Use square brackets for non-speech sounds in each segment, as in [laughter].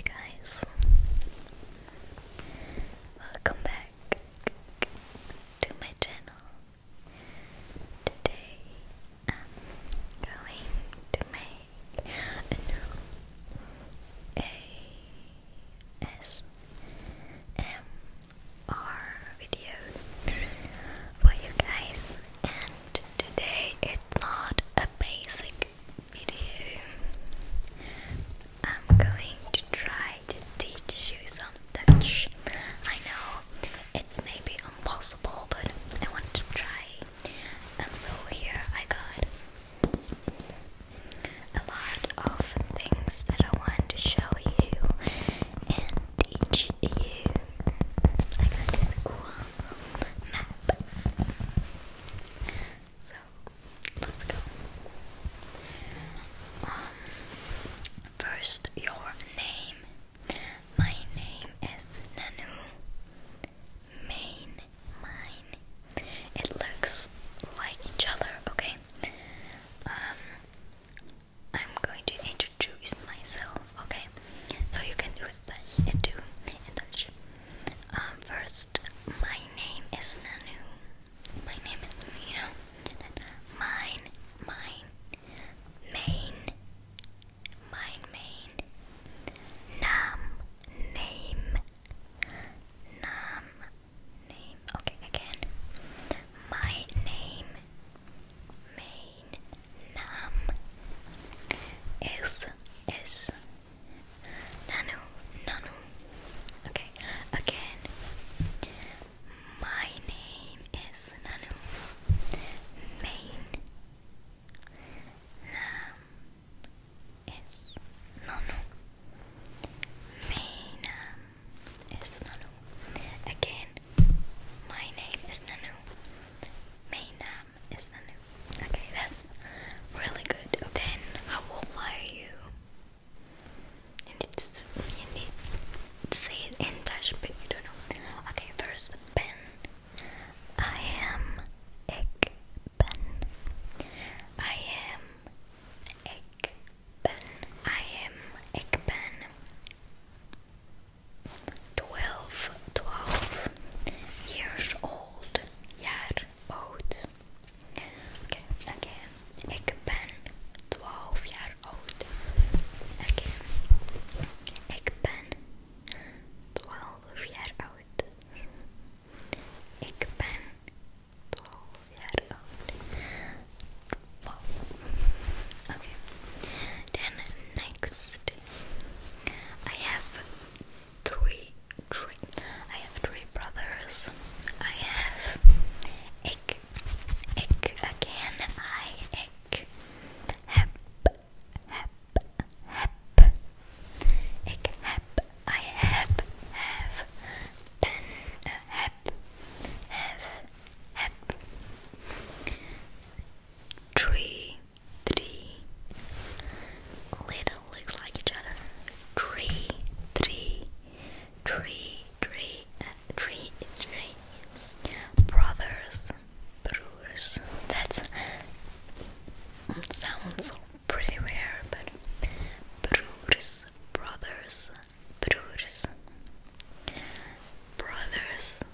Hey guys, welcome back to my channel. Today I'm going to make a ASMR video for you guys, and today it's not a basic video, I'm going to try to teach you some Dutch. I know it's maybe impossible, but I want to try. Um, so here I got a lot of things that I want to show you and teach you. I got this cool map. So let's go. Um, first, your name. My name is Nanu. Main, mine. It looks like each other, okay? Um, I'm going to introduce myself, okay? So you can birthday and do Um, first, my name is Nanu. My name is Nina. Mine, mine, main, mine, main. Nam, name, name. Okay, again. My name, main, nam, is, is. Nanu, Nanu. Okay, again. My name is Nanu. Main Nam is Nanu. Main Nam is Nanu. Again, my name is Nanu. Main Nam Instagram new. Okay, that's really good. Then how old are you? You need you need to say it in Dutch, but you don't know. Okay, first ben. I am ik ben. I am ik ben. I am ik ben. 12, 12 years old, jaar oud. Oké, okay, oké. Ik ben 12 jaar oud. Oké. Ik ben 12 jaar oud. Ik ben 12 jaar oud. Oké. Okay. Then next, I have three, three. I have three brothers. I have egg, egg again. I egg, hep, hep, hep, egg, hep. I have, have, pen, uh, Three three little looks like each other. Tree, uh, Brothers, brewers. That sounds pretty rare, but brewers, brothers, brewers, brothers,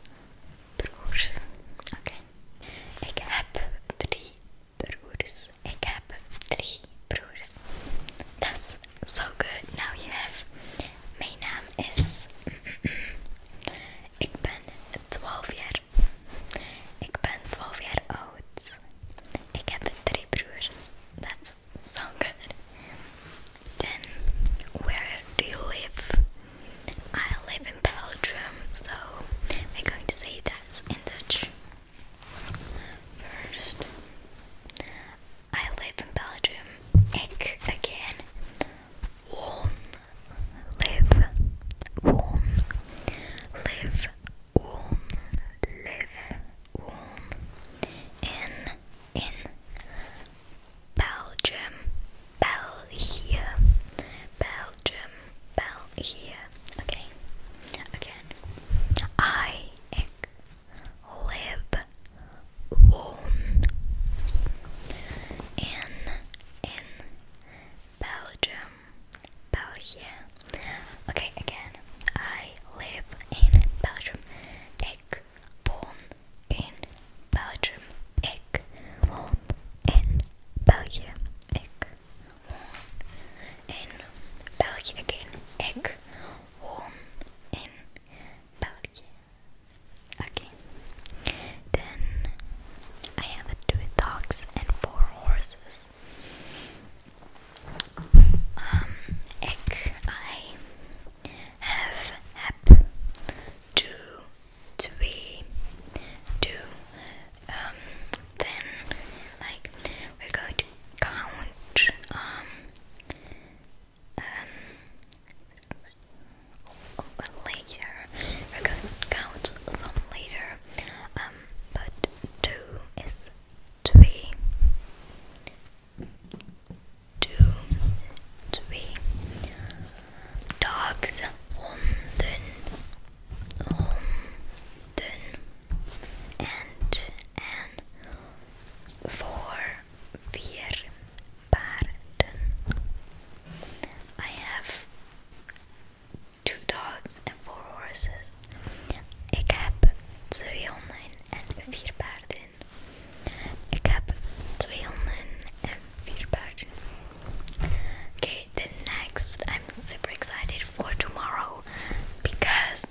brewers. Okay. Ik heb 3 broers. Ik heb drie broers. That's so good. Now you have. Mijn naam is. [clears throat] Ik ben 12 jaar. Ik ben 12 jaar oud. Ik heb 3 broers. That's so good. Then where do you live? I live in Belgium, so we're going to say that in Dutch. First, I live in Belgium. Ik again. Woon, live, woon, live, woon, live, woon. In, in, Belgium, Belgium, Belgium, Belgium. Okay, again. I ik, live, woon in, in Belgium, Belgium. Okay, again. I live in Belgium. Ik woon in Belgium. Ik woon in België. Ik woon in België. Again. Ik woon in België. Okay. Then I have two dogs and four horses. Um, ik, I have, heb, two we do um, then like we're going to count um, um, later we're going to count some later um, but two is three two three dogs, honden, honden, and and four, vier paarden. I have two dogs and four horses. Ik heb 2 honden en vier paarden. Ik heb twee honden en we bad. Okay, then next, I'm super excited for tomorrow because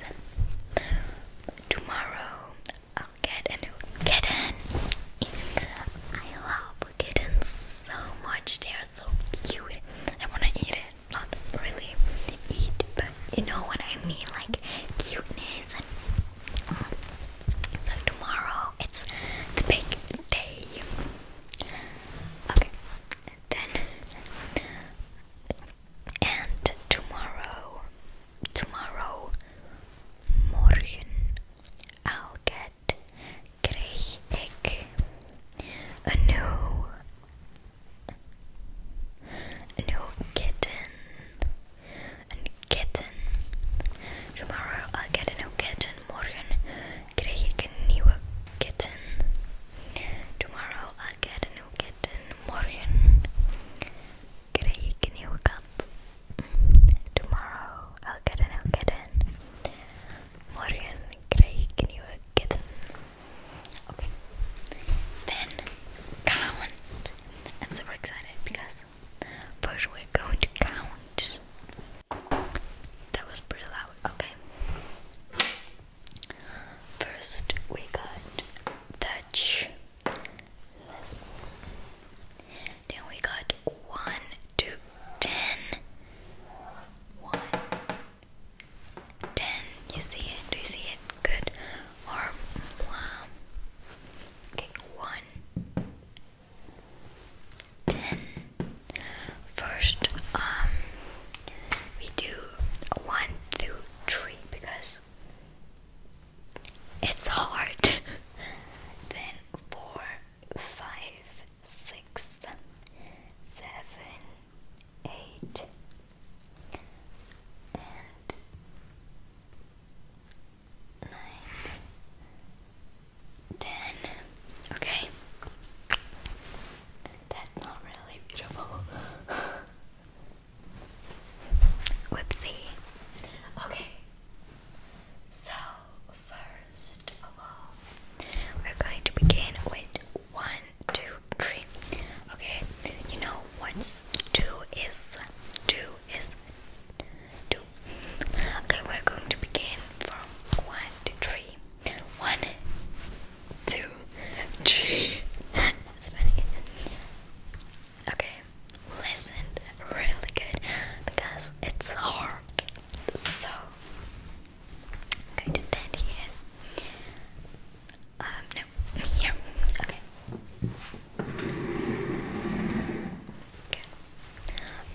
tomorrow I'll get a new kitten. I love kittens so much, they are so cute. I want to eat it, not really eat, but you know what I mean like cuteness and so tomorrow it's the big day. Okay, then and tomorrow, tomorrow, morgen, I'll get krijg ik a new, a new kitten tomorrow I'll get a new kitten morgen krijg ik een nieuwe kitten tomorrow I'll get a new kitten morgen krijg ik een nieuwe kat tomorrow I'll get a morgen krijg ik een nieuwe kitten then count I'm super excited because First, we're going to count. That was pretty loud. Okay. First, we got Dutch. Less. Then we got one to ten. You see it? Do you see it? Good. Or One. Then first um we do one, two, three because it's hard. [laughs] then four, five, six, seven, eight and nine, ten. Okay. That's not really beautiful. [laughs] Whoopsie. Okay. So, first of all, we're going to begin with one, two, three. Okay, you know what's two is? Two is two. Okay, we're going to begin from one to three. One, two, three. Okay, listen really good because it's hard. So, going to stand here. Um, no, here. Okay.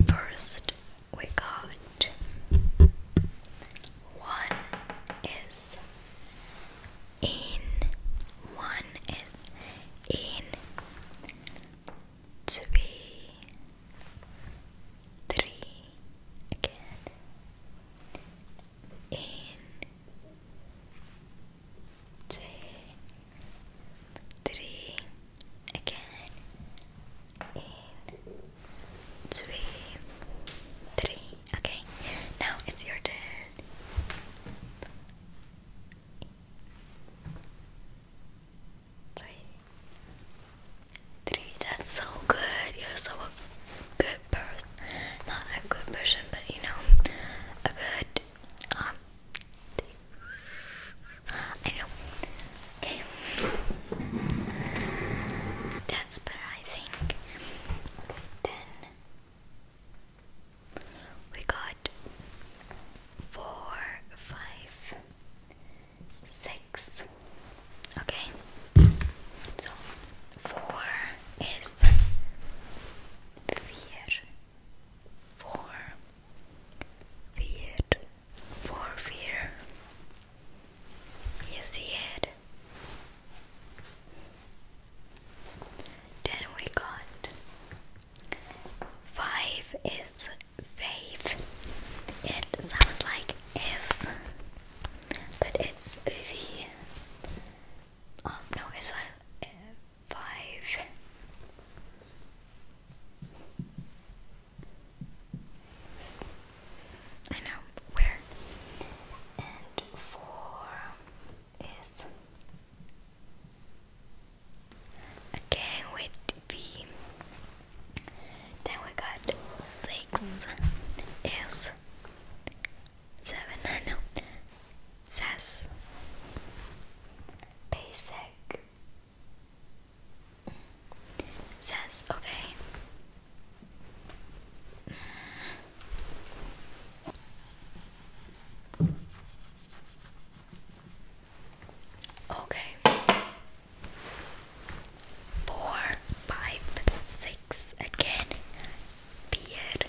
First, we got one is in, one is in, two, three, again, in two, three, again, in, okay, now it's your turn. Three, that's so good, you're so a good person, not a good person, but you know, a good, um, I know. Okay. That's better, I think. Then we got four, five, six. Okay. So four is vier or feared for fear. You see it? Then we got five is faith. It sounds like if, but it's V. Oh no, it's a five. I know where. And four is again with V. Then we got six is seven I know SAS Basic SAS okay Okay. Four, five, six again. Beer,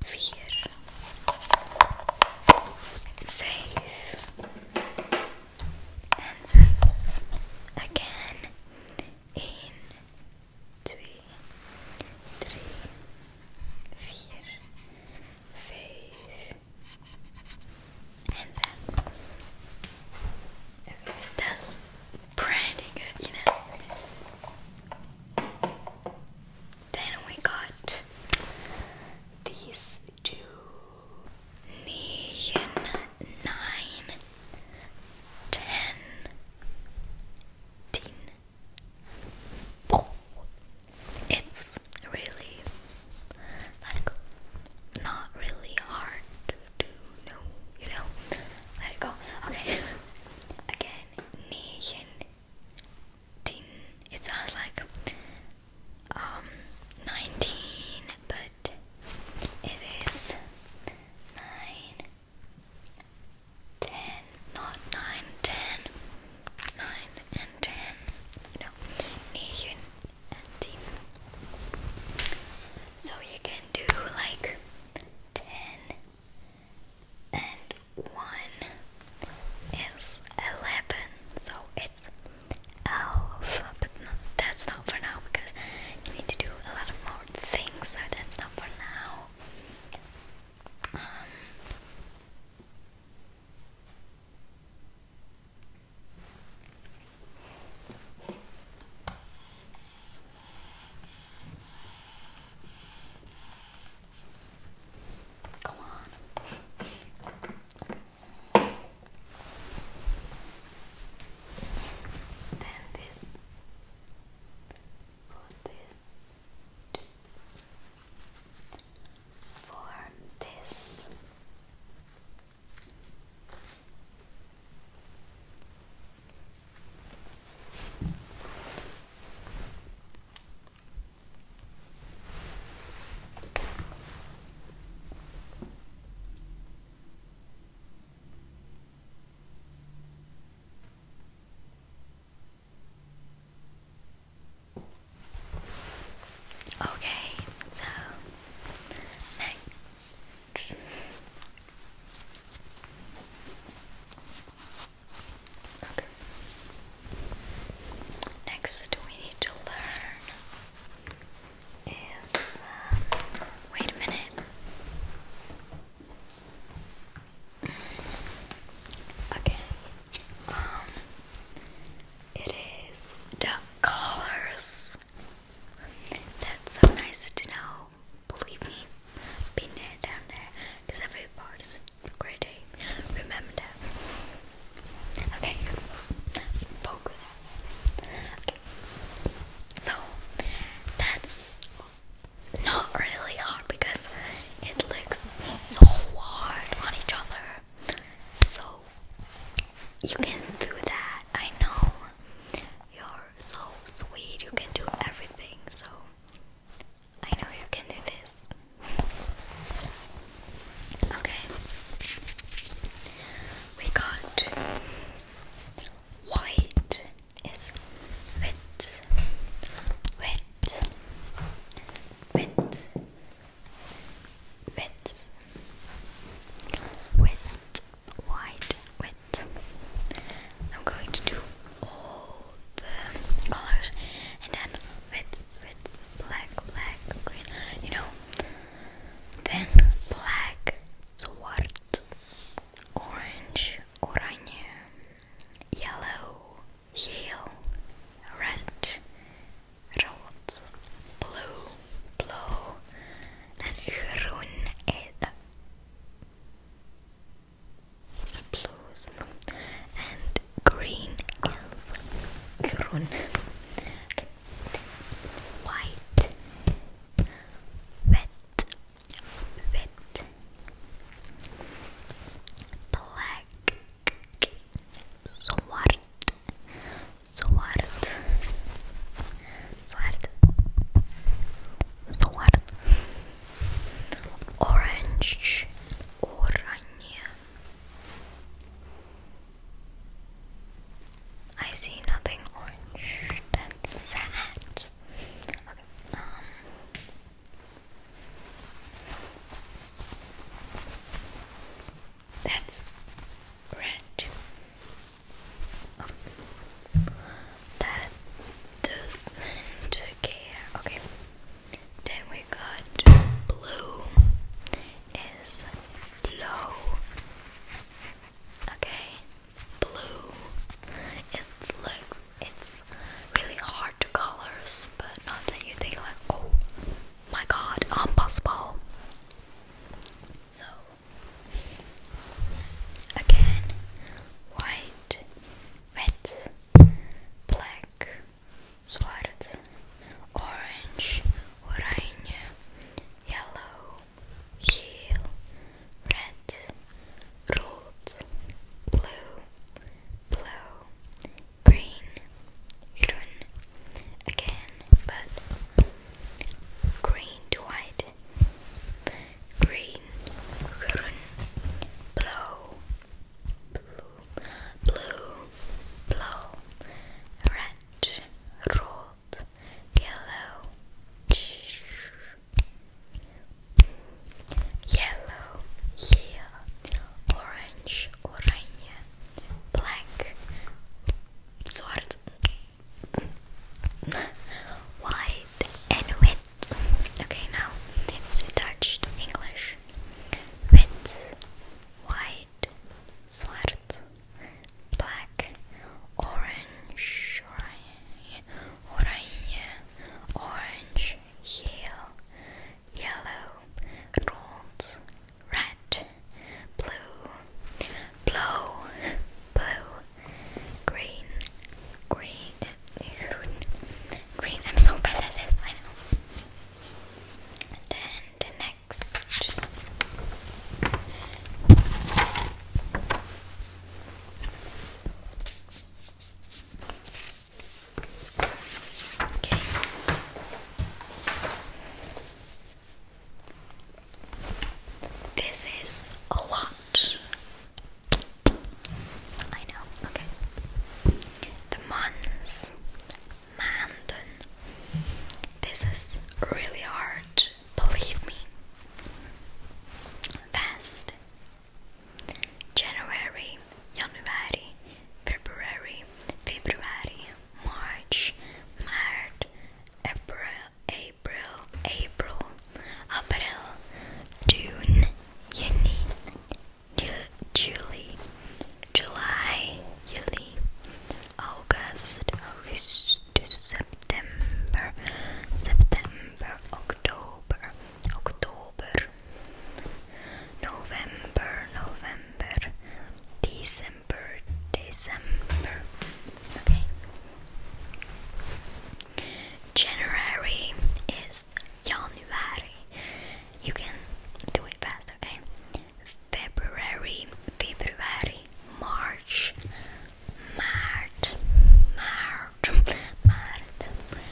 vier, vijf en zes. Again, één, twee, drie, that's pretty good, you know. Then we got these two neon Oh, it's really like not really hard to do, no, you know. Let it go. Okay. [laughs] Again, neon 19 it sounds like um, 19 but it is 9 not 9 9 and 10 you know 9 and 10 so you can do like 10 and one is 11, so it's elf, but that's not for now because you need to do a lot of more things, so that's not for now. Um, Come on. Then this. Put this. For this. Okay, so next. Okay. Next, we need to learn is uh, wait a minute. Okay. Um, it is the colors. That's so nice to know. Believe me, been down there, because every part Ready? Remember. Okay. Focus. Okay. So that's not really hard because it looks so hard on each other. So you can do that. I know. You're so sweet. You can do everything. So I know you can do this. Okay. We got white is wet, wet, wet, wet, wet, white, wet. I'm going to do all the colors and then with with black, black, green, you know. Then black, swart, orange, oranje, yellow, yellow, red, rood, blue, blue, and groen. Eh, Blue and green is grün white wet wet black swart swart swart swart orange, orange. I see nothing orange. That's um. red. Oh that doesn't care. Okay. Then we got blue is blow. Okay. Blue. It's like it's really hard to colors, but not that you think like, oh my god, impossible. So again, white red, black, schwarz, orange, oranje, yellow, geel, red, rood, blue, blauw, green, groen, again, but green to white, green, green, blue, blue, blue, blue, red, red, yellow, yellow, yellow, orange, orange, black, swart. [laughs] White and wet Okay, now it's Dutch English. Wit, white, zwart, black, orange, orange, orange, yellow, yellow, gold, red, blue, blue, blue, green, green, green. I'm so bad at this, I know. And then next. Okay. This is a lot. I know, okay. The Mons Mandon. This is really hard, believe me. Fast. January, January, February, February, March, March, April, April, April, April, June, Juni, July, July, July, August, August, September, September, October, October, November, November, December, December. Okay. January is January. You can do it fast, okay? February, February, March, March, March, March,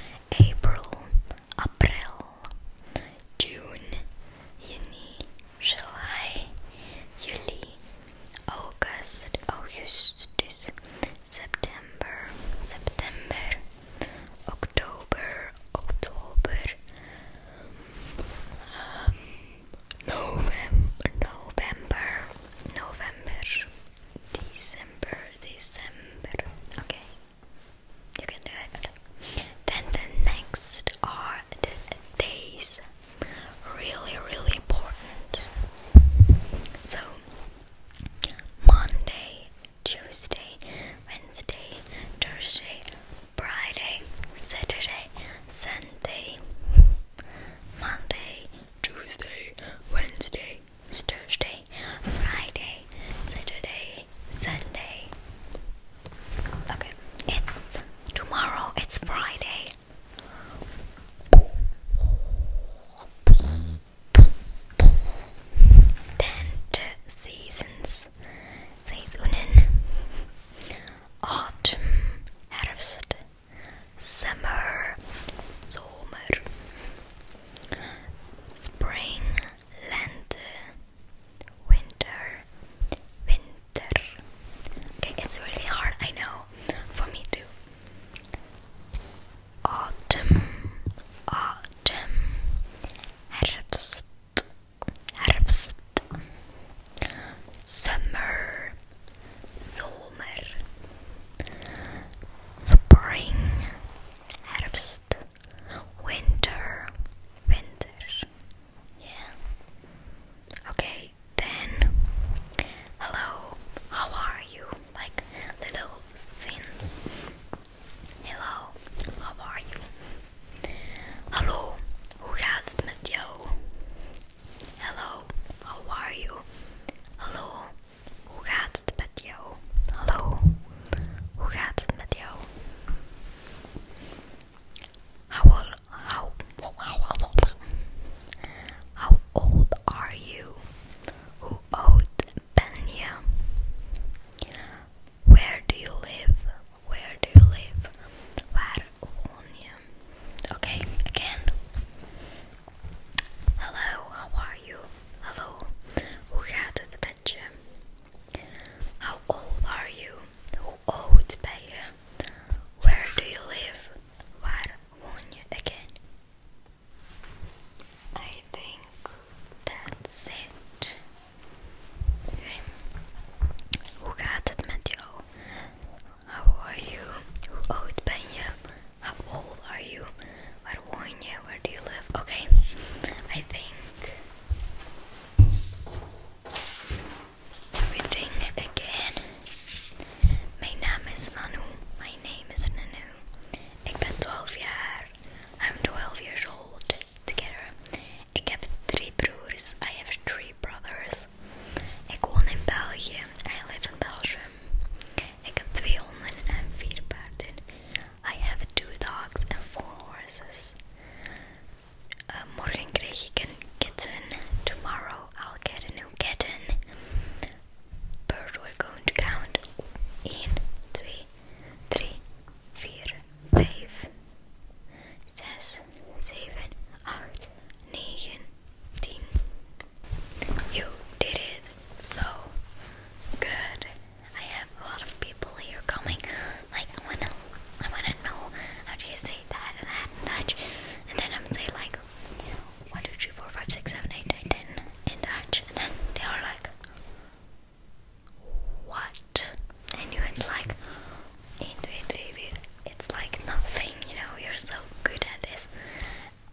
April, April, June, Juni, July, July, August, August, September, September, October, October, um, November, November, November, December, December. Okay, you can do it. Then the next are the days really, really important. So, Monday, Tuesday, Wednesday, Thursday, Friday, Saturday, Sunday, Monday, Tuesday, Wednesday, Thursday, Friday, Saturday, Sunday. Okay, it's tomorrow, it's Friday. Ten seasons. Saisonen. Autumn, Herbst, Summer, Sommer, Spring, Lente, Winter, Winter. Okay, it's really hard, I know, for me too. Autumn, autumn, herbst, herbst, summer, sommer, spring, herbst, winter, winter. Yeah. Okay, then. Hello, how are you? Like little scenes. Hello, how are you? Hallo, hoe gaat het met jou? Hello, how are you? Hallo, hoe gaat het met jou? Hallo, hoe gaat het met jou? How old, how, how old are you? Who owed Benya? Where do you live? Where do you live? Where Okay, again. Hello, how are you? Hello. Who had How old are you? Who owed Benya? Where do you live? were won again. I think that's it. Okay. Hoe gaat het met How are you? Hoe oud ben je? How old are you? Waar woon je? Where do you live? Okay, I think everything again. My name is Nanu. My name is Nanu. I'm 12 years old. Together. Ik heb drie broers. I have three brothers. Ik woon in België. I live in Belgium. I have two dogs and four horses morgen kreeg ik een kitten. Tomorrow I'll get a new kitten. But are going to count 1, You did it so good. I have a lot of people here coming. Like I wanna I wanna know how do you say that and that and that, and then I would say like 1, 2, 3, 4, 5, 7, 8, 9, 10 and then they are like, what? And you, it's like, it's like nothing, you know, you're so good at this.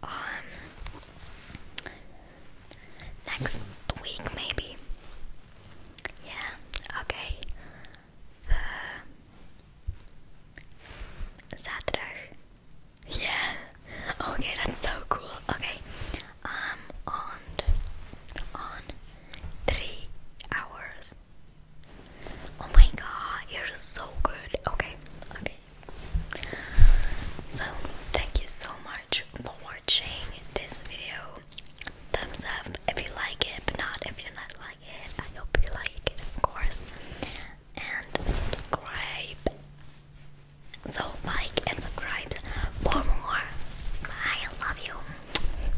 Um, next week, maybe. Yeah, okay. Uh, Saturday. Yeah. Okay, that's so cool. Okay. Um on on three hours. Oh my god, you're so good. Okay, okay. So thank you so much for watching this video. Thumbs up if you like it, but not if you're not like I hope you like it, of course. And subscribe. So, like and subscribe for more. I love you.